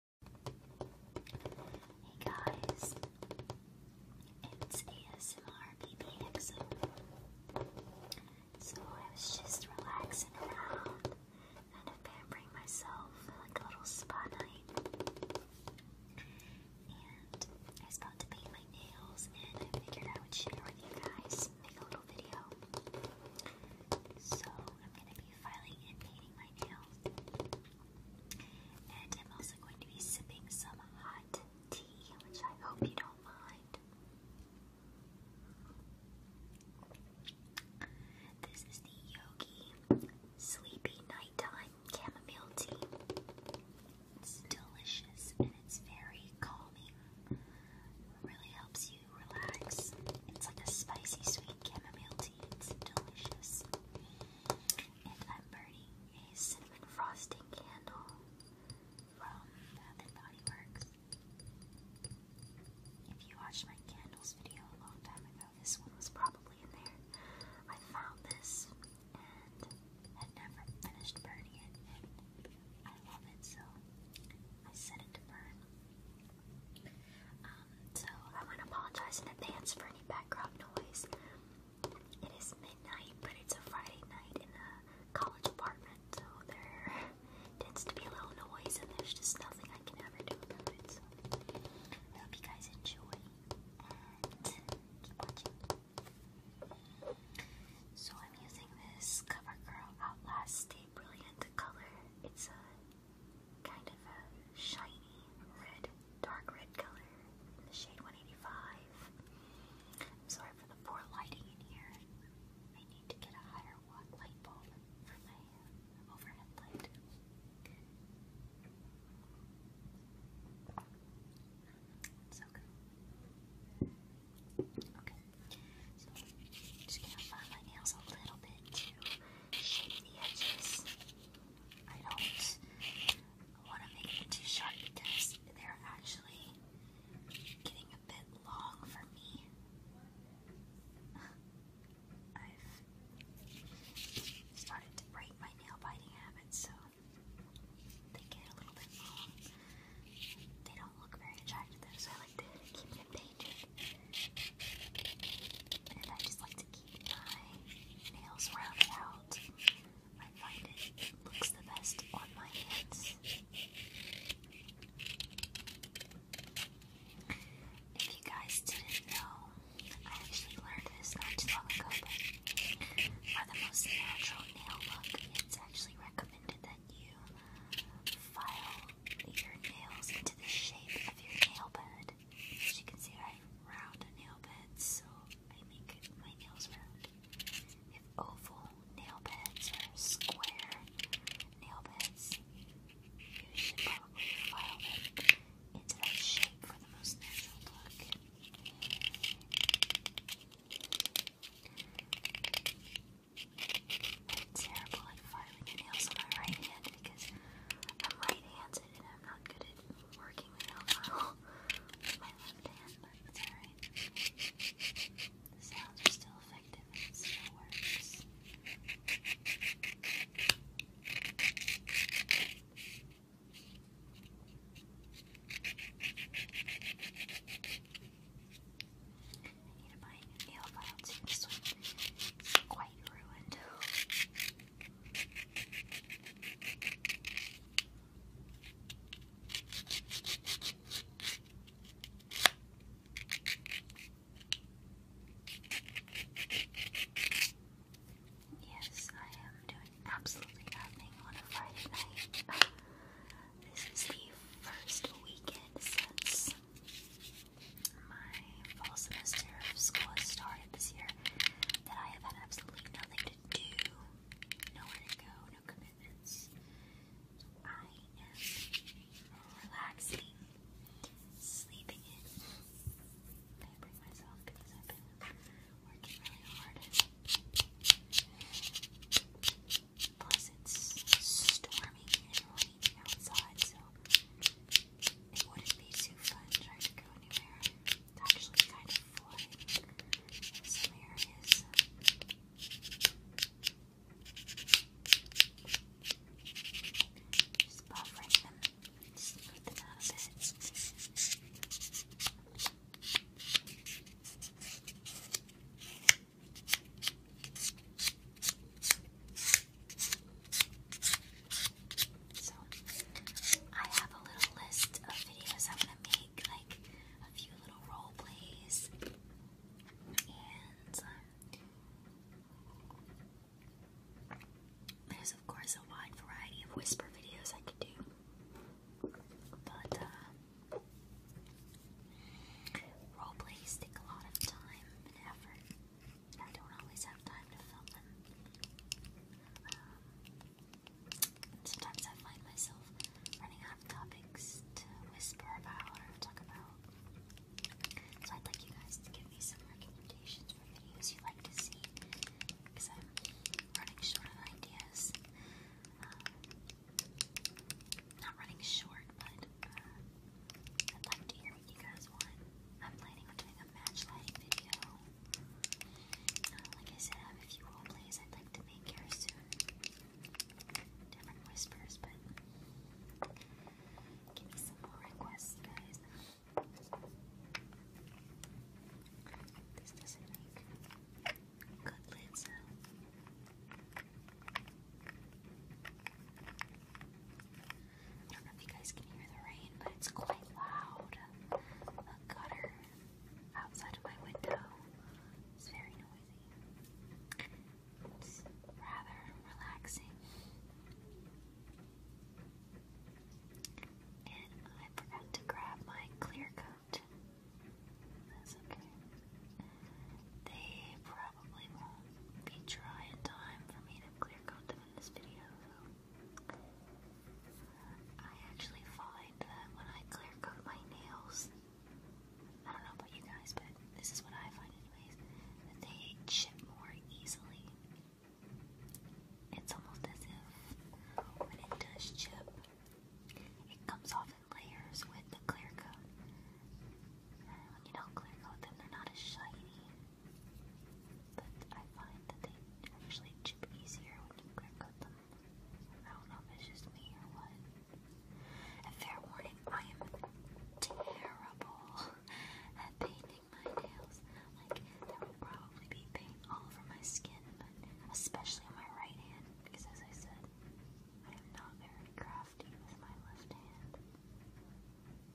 Hey guys, it's ASMRBBXO. So I was just relaxing around, kind pampering myself like a little spa night. And I was about to paint my nails, and I figured I would share with you guys, make a little video. So I'm gonna be filing and painting my nails. And I'm also going to be sipping some hot tea, which I hope you don't mind. This is the Yogi Sleepy Nighttime Chamomile Tea. It's delicious and it's very calming. It really helps you relax. It's like a spicy sweet chamomile tea it's delicious. And I'm burning a cinnamon frosting candle from Bath and Body Works. If you watched my candles video a long time ago, this one was probably in there. I found this and had never finished burning it, and I love it, so I set it to burn. Um, so I want to apologize in advance for any background noise. It is midnight, but it's a Friday night in a college apartment, so there tends to be a little noise, and there's just nothing I can ever do about it. So you guys enjoy So I'm using this CoverGirl Outlast Stay Brilliant color. It's a kind of shiny red, dark red color in the shade 185. sorry for the poor lighting in here. I need to get a higher watt light bulb for my overhead light. So good. Okay, just gonna file my nails a little bit to shape the edges. I don't want to make them too short because they're actually getting a bit long for me. I've started to break my nail biting habits, so they get a little bit long. They don't look very attractive so I like to keep them painted. And I just like to keep my nails rounded out. I find looks the best on my hands. If you guys didn't know, I actually learned this not too long ago, for the most natural nail look, it's actually recommended that you file your nails into the shape of your nail bed. As you can see, I have round nail beds, so I make my nails round. We have oval nail beds or square nail beds. You should probably file them into that shape for the most natural look. I'm terrible at filing nails on my right hand because I'm right handed. I'm not good at working with my left hand, but sounds are still effective still works. I need to buy a new nail file too. This one is quite ruined. Yes, I am doing absolutely nothing on a Friday night. This is the first weekend since my fall semester of school has started this year that I have had absolutely nothing to do, nowhere to go, no commitments. So I am relaxing, sleeping in, pampering myself because I've been working really hard. Plus, it's storming and raining outside, so it wouldn't be too fun trying to go anywhere. It's actually kind of fun some areas. Just buffering them, smooth out a bit. I have a little list of videos I'm to make, like a few little role plays, and um, there's of course a wide variety of whisper videos I could do, but uh, role plays take a lot of time and effort. I don't always have time to film them. Um, sometimes I find myself running out of topics to whisper about or talk about. So I'd like you guys to give me some recommendations for videos you'd like to see, because I'm running short on ideas. Um, not running short, but uh, I'd like to hear you guys want. I'm planning on doing a match lighting video. Uh, like I said, I have a few role I'd like to make here soon. Different whispers, but give me some more requests, guys. This doesn't make good lid sound. I don't know if you guys can hear the rain, but it's quite loud. The gutter outside of my window is very noisy. It's rather relaxing. And I forgot to grab my clear coat. That's okay. They probably won't be dry in time for me to clear coat them in this video, I actually find that when I clear coat my nails, I don't know about you guys, but this is what I find anyways, they chip more easily. It's almost as if when it does chip, it comes off in layers with the clear coat. you do clear coat them, they're not as shiny. But I find that they actually chip easier when you quick them. I don't know if it's just me or what. And fair warning, I am terrible at painting my nails. Like, there will probably be paint all over my skin, especially my right hand, because as I said, I am not very crafty with my left hand. I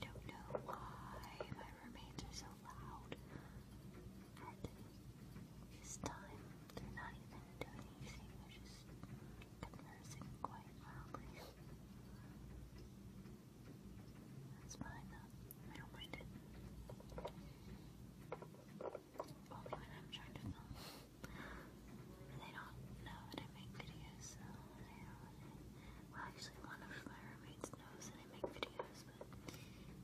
don't know why my roommates are so loud at this time. They're not even doing anything, they're just conversing quite loudly. That's fine though. I don't mind it. Only oh, when I'm trying to film. They don't know that I make videos, Well, actually, one of my roommates knows that I make videos, but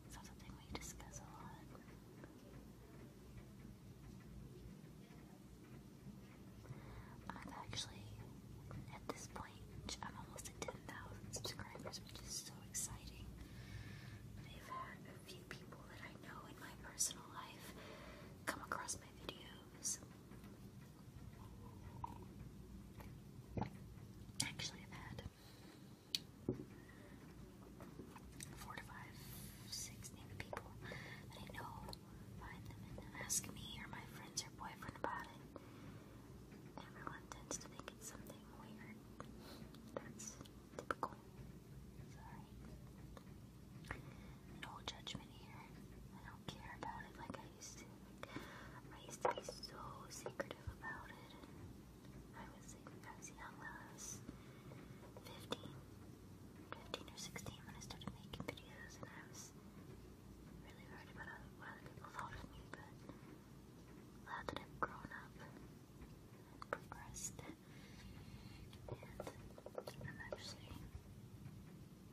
it's not something we discuss a lot. I've actually, at this I'm almost at 10,000 subscribers, which is so exciting. I've had a few people that I know in my personal life come across my videos. Actually, I've had four to five, six maybe people that I know find them and ask me or my friends or boyfriend about it. Everyone tends to think it's something weird. That's typical. Sorry. No judgment here. I don't care about it like I used to. I used to be so secretive about it. I was, I was young, I was 15, 15 or 16 when I started making videos, and I was really worried about what other people thought of me, but that I've grown up progressed, and I'm actually,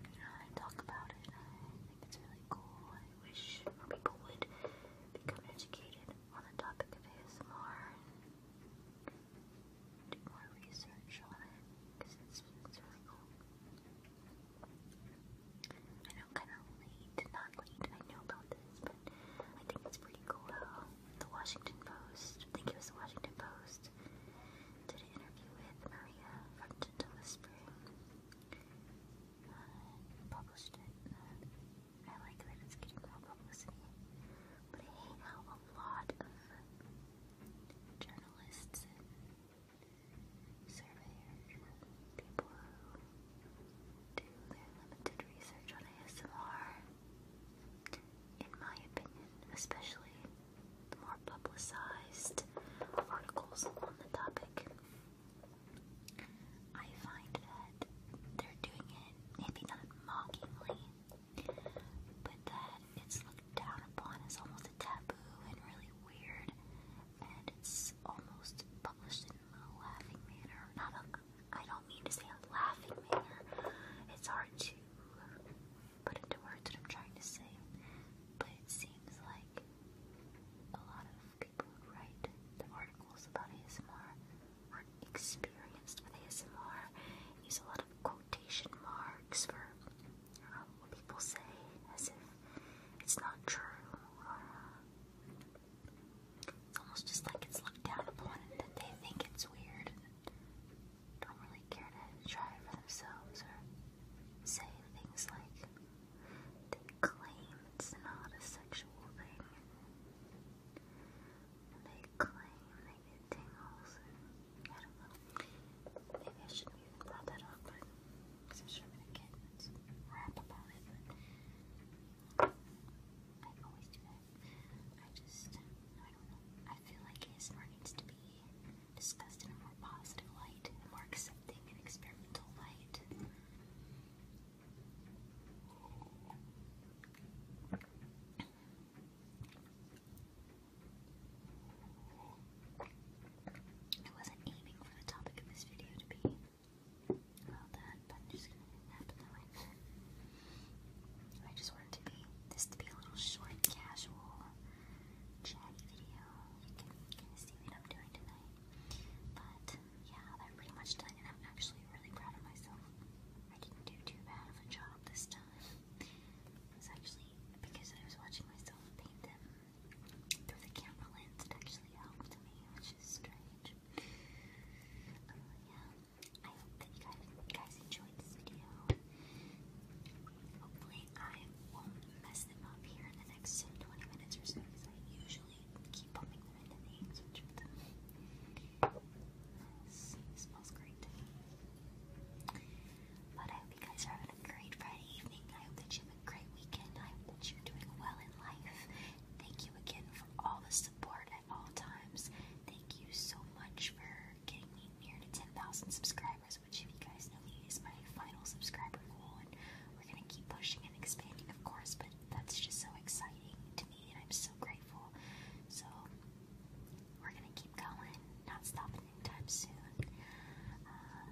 you know, I talk about it. I think it's really cool. I wish more people would become educated on the topic of ASMR and do more research on it because it's really cool. I know kind of late, not late, I know about this, but I think it's pretty cool how the Washington Post, I think it was the Washington Post, did an interview with Maria from Gentle Whispering, uh, published it. Uh, I like that it's getting more publicity, but I hate how a lot of journalists surveyor people who do their limited research on ASMR. In my opinion, especially the more publicized articles on the topic, I find that they're doing it maybe not mockingly, but that it's looked down upon as almost a taboo and really weird, and it's was almost published in a laughing manner. Not a, I don't mean to say a laughing manner. It's hard to put into words what I'm trying to say. But it seems like a lot of people who write the articles about ASMR aren't experienced with ASMR. Use a lot of quotation marks for um, what people say as if it's not true or uh, it's almost just like it's looked down upon and that they think it's weird and don't really care to try it for themselves or say things like they claim it's not a sexual thing. And they claim they get tingles and I don't know. Maybe I shouldn't even brought that up, but because I'm sure I'm going to get some rap about it, but I always do that. I just, I don't know. I feel like ASMR needs to be discussed in a more positive light, more accepting and experimental light. I wasn't aiming for the topic of this video to be all that, but I'm just gonna nap I just wanted to be this to be a little short, casual, chatty video. You can kind of see what I'm doing tonight. But yeah, I'm pretty much done, and I'm actually really proud of myself. I didn't do too bad of a job this time. It actually because I was watching myself paint them through the camera lens, it actually helped me, which is strange. Oh, yeah, I hope that you guys, enjoyed this video. Hopefully, I won't mess them up here in the next 20 minutes or so, because I usually keep bumping them into things, which smells great. But I hope you guys are having a great Friday evening. I hope that you great weekend. I hope you're doing well in life. Thank you again for all the support at all times. Thank you so much for getting me near to 10,000 subscribers, which, if you guys know me, is my final subscriber goal. And we're going to keep pushing and expanding, of course, but that's just so exciting to me, and I'm so grateful. So, we're going to keep going, not stopping anytime soon. Uh,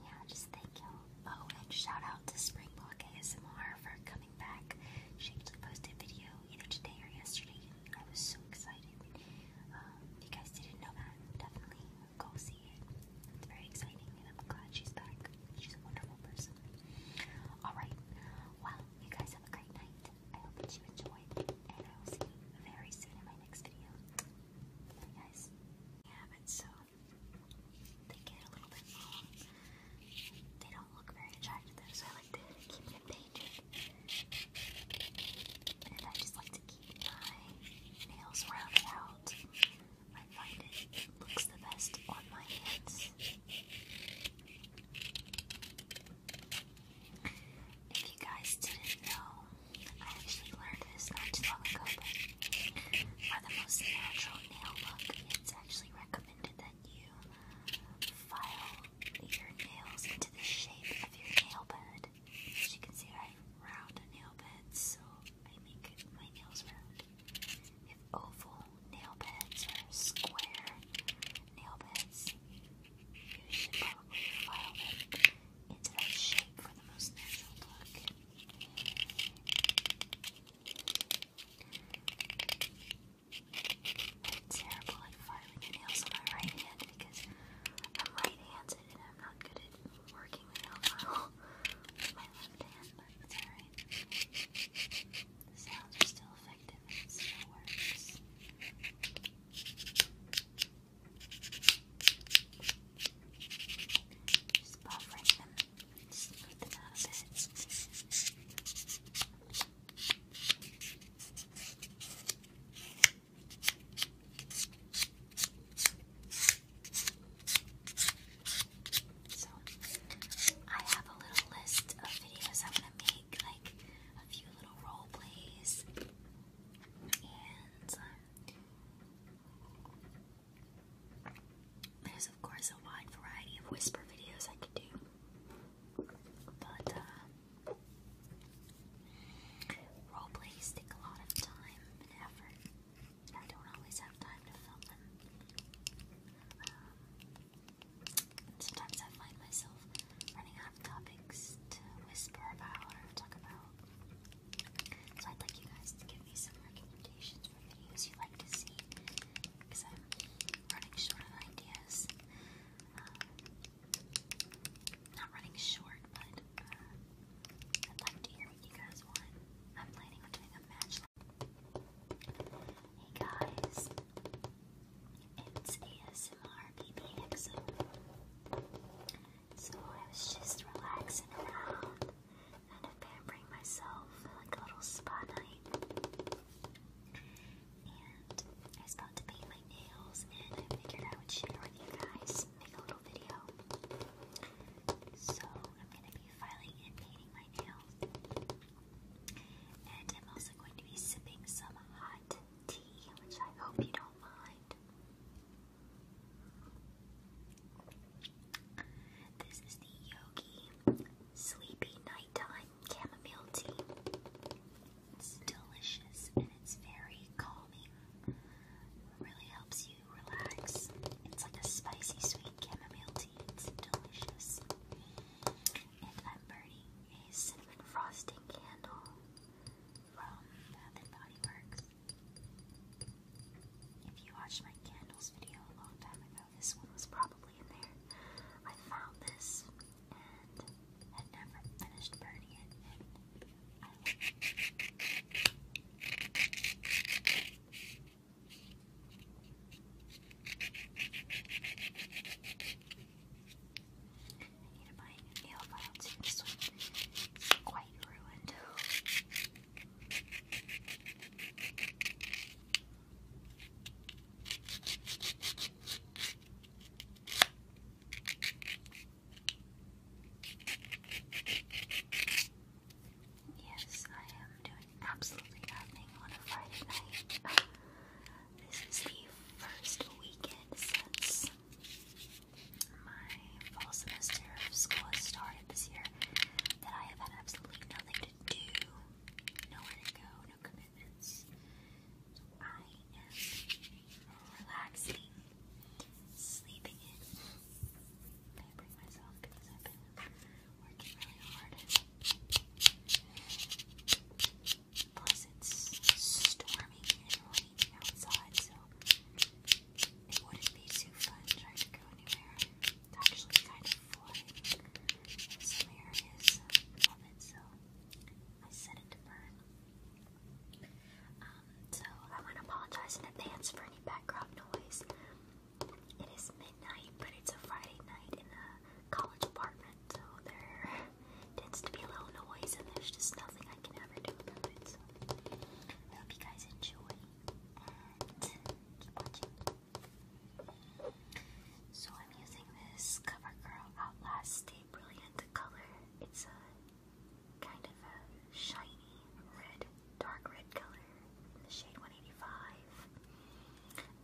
yeah, just thank you. Oh, and shout out to Springbok ASMR for coming back. She actually posted a video either today or yesterday. I was so excited. Um, if you guys didn't know that, definitely go see it. It's very exciting, and I'm glad she's back. She's a wonderful person. Alright, well, you guys have a great night. I hope that you enjoyed, and I will see you very soon in my next video. Bye, guys. Yeah, so they get a little bit long. They don't look very attractive so I like to keep them painted. And I just like to keep my nails rounded out. I find it looks the best on my hands. If you guys didn't know, I actually learned this not too long ago, are the most natural nail look, it's actually recommended that you file your nails into the shape of your nail bed. As you can see, I have round nail beds, so I make my nails round. If oval nail beds or square nail beds, you should probably file it into that shape for the most natural look. It's terrible like filing the nails on my right hand because I'm right handed and I'm not good at working the nail file with my left hand, but it's alright. The sounds are still effective it still works. Just buffering them so, I have a little list of videos I want to make, like a few little role plays, and um, there's of course a wide variety of whisper videos I could do, but uh, role a lot of time and effort. I don't always have time to film them. Um, sometimes I find myself running out of topics to whisper about or talk about. So I'd like you guys to give me some recommendations videos you'd like to see because I'm running short on ideas. Um, not running short, but uh, I'd like to hear what you guys want. I'm planning on doing a match. Hey guys, it's ASMR BBXO. So I was just relaxing kind pampering myself like a little spa night. And I was about to paint my nails, and I figured I would share with you guys, make a little video. So I'm going to be filing and painting my nails. And I'm also going to be sipping some hot tea, which I hope you don't mind. This is the Yogi Sleepy Nighttime Chamomile Tea. It's delicious and it's very calming. Really helps you relax. It's like a spicy sweet chamomile tea. It's delicious. And I'm burning a cinnamon frosting candle from Bath and Body Works. If you watched my candles video a long time ago, this one was probably in there. I found this and never finished burning it. I need to buy a nail file too. This one is quite ruined. Yes, I am doing absolutely nothing on a Friday night. This is the first weekend since my fall semester of school has started this year that I have had absolutely nothing to do, nowhere to go, no commitments. So I am relaxing, sleeping in. Pampering myself because I've been working really hard. Plus, it's storming and raining outside, so it wouldn't be too fun trying to go anywhere. It's actually kind of flooding in some areas of it, so I set it to burn. so I want to apologize in advance for any background noise. It is midnight, but it's a Friday night in a uh, college apartment, so there tends to be a little noise, and there's just nothing I can ever do about it. hope you guys enjoy and keep watching. So I'm using this CoverGirl Outlast Stay Brilliant color. It's a kind of a shiny red, dark red color in the shade 185.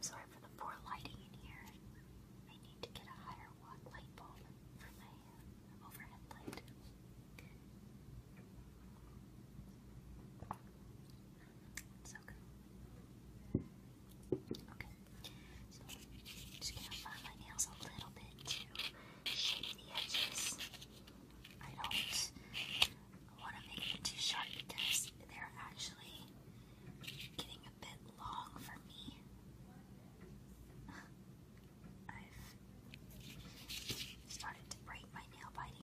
sorry for the poor lighting in here. I need to get a higher watt light bulb for my overhead light okay. So i just gonna apply my nails a little bit to shape the edges. I don't want to make them too sharp because they're actually getting a bit long for me. I've started to break my nail biting